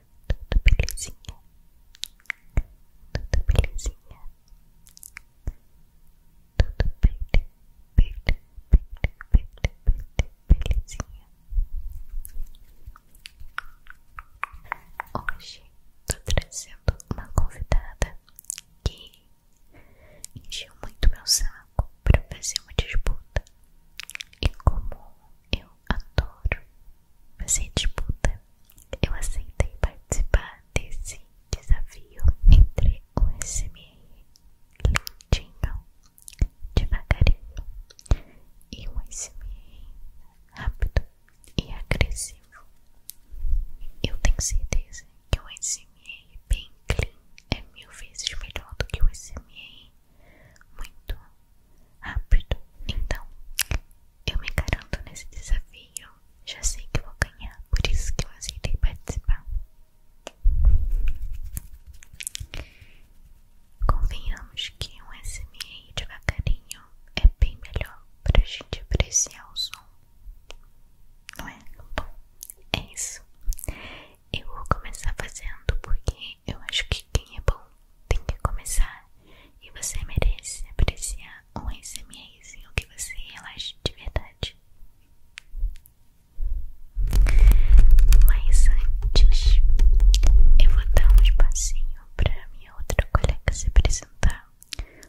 Tudo belezinha? Tudo belezinha? Tudo bele, bele, bele, bele, bele, belezinha? Hoje tô trazendo uma convidada que encheu muito meu saco para fazer uma disputa. E como eu eu mas fazer disputa. Eu aceitei participar desse desafio entre o SMR lentinho, devagarinho, e o SMR rápido e agressivo. Eu tenho certeza que o SMR bem clean é mil vezes melhor do que o SMR muito rápido. Então, eu me garanto nesse desafio. Já sei que vou ganhar, por isso que eu aceitei participar. Convenhamos que um SMR devagarinho é bem melhor pra gente apreciar o som. Não é? Bom, é isso. Eu vou começar fazendo porque eu acho que quem é bom tem que começar e você merece apreciar um SMS em que você relaxe de verdade. Mas antes, eu vou dar um espacinho para minha outra colega se apresentar,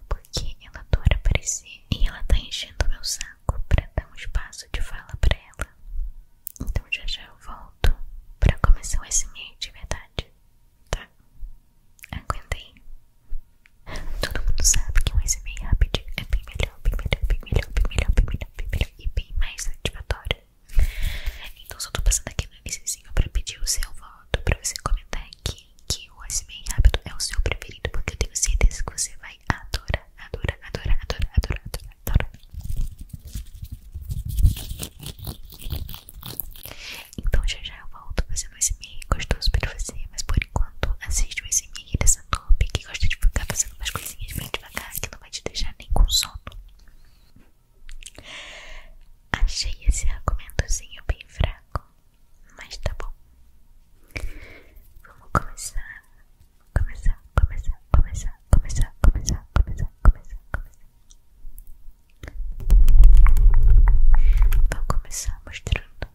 porque ela adora aparecer e ela tá enchendo meu saco para dar um espaço de fala para ela. Então já já eu volto para começar o SMS de verdade. Tá, aguentei. Todo mundo sabe que um SMR rápido é bem melhor, bem melhor, bem melhor, bem melhor, bem melhor, e bem mais satisfatório. Então só tô passando aqui no iníciozinho pra pedir o seu voto, pra você comentar aqui que o SMR rápido é o seu preferido, porque eu tenho certeza que você vai adorar, adorar, adorar, adorar, adorar, adorar, adorar. Então já já eu volto fazer mais e-mail gostoso pra você, mas por enquanto assiste o e-mail dessa top que gosta de ficar fazendo umas coisinhas bem devagar que não vai te deixar nem com sono. Achei esse argumentozinho bem fraco, mas tá bom. Vamos começar, começar, começar, começar, começar, começar, começar, começar, começar. Vou começar mostrando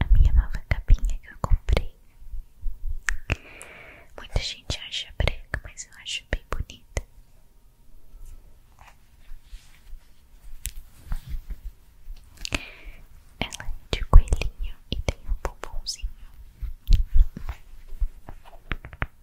a minha nova capinha que eu comprei. Muita gente acha branca, mas eu acho bem bonita. Ela é de coelhinho e tem um bombonzinho.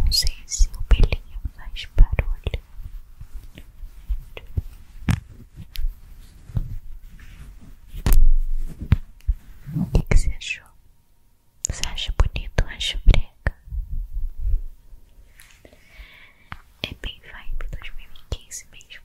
Não sei se o pelinho faz barulho. O que, que você achou? Você acha bonito? Acha brega? É bem vibe 2015 mesmo.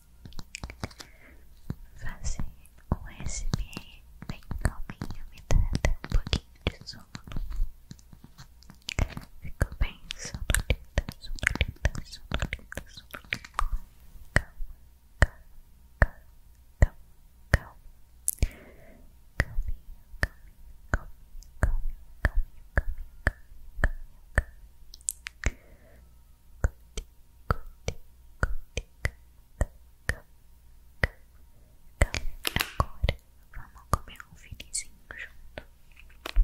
fazer um SMR bem calminho, me dá um pouquinho de sono. Ficou bem sonolenta, sonolenta, sonolenta, sonolenta. Calma, calma, calma, calma, calma. Calminho, calminho, calminho, calminho, calminho, calminho, calminho, calminho. Calminho, Agora vamos comer um finizinho junto. Agora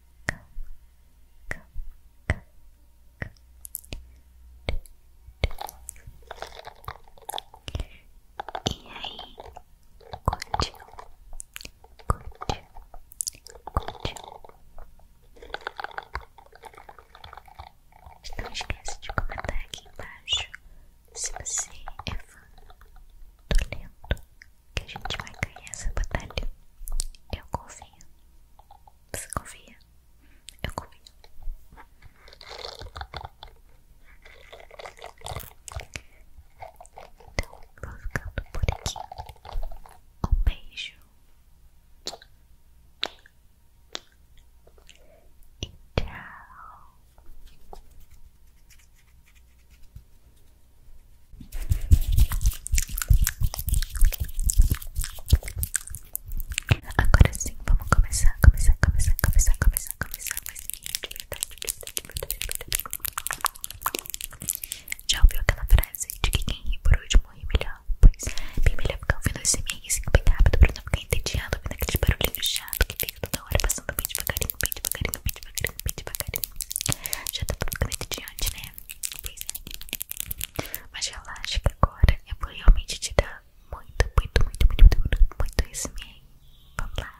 calma, calma, calma, calma. E aí, curtiu, curtiu, curtiu. Não esquece de comentar aqui embaixo se você é fã do lento que a gente vai ganhar essa batalha. Eu confio você confia? Eu confio. Então, vou ficando por aqui. Um beijo. E tchau. Agora sim, vamos começar, começar, começar, começar, começar, começar, Já ouviu aquela frase de que quem ri por último ri melhor? Pois bem melhor ficar ouvindo esse meio assim bem rápido pra não ficar entediado ouvindo aquele barulhinho chato que fica toda hora passando bem devagarinho, bem devagarinho, bem devagarinho, bem devagarinho. Já tá ficando entediante, né? Pois é. Mas relaxa que agora eu vou realmente te dar muito, muito, muito, muito, muito, muito esse meio. Vamos lá.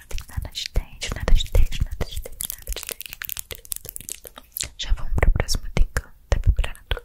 não tem nada de dente, nada de dente, nada de dente, nada de dente. Já vamos pro próximo dica da temperatura.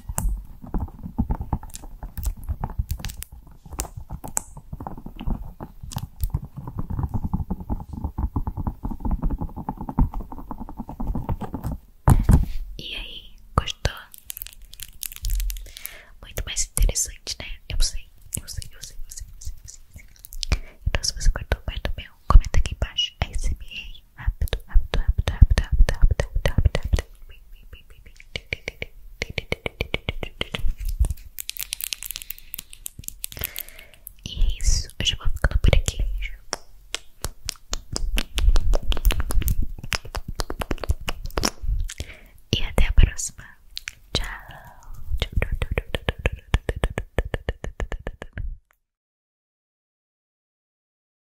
E aí, gostou? Muito mais interessante, né? Eu sei, eu sei, eu sei, eu sei, eu sei, eu sei. Então, se você cortou perto meu, comenta aqui embaixo. ASMR E é isso, eu já vou ficando por aqui. E até a próxima. tchau.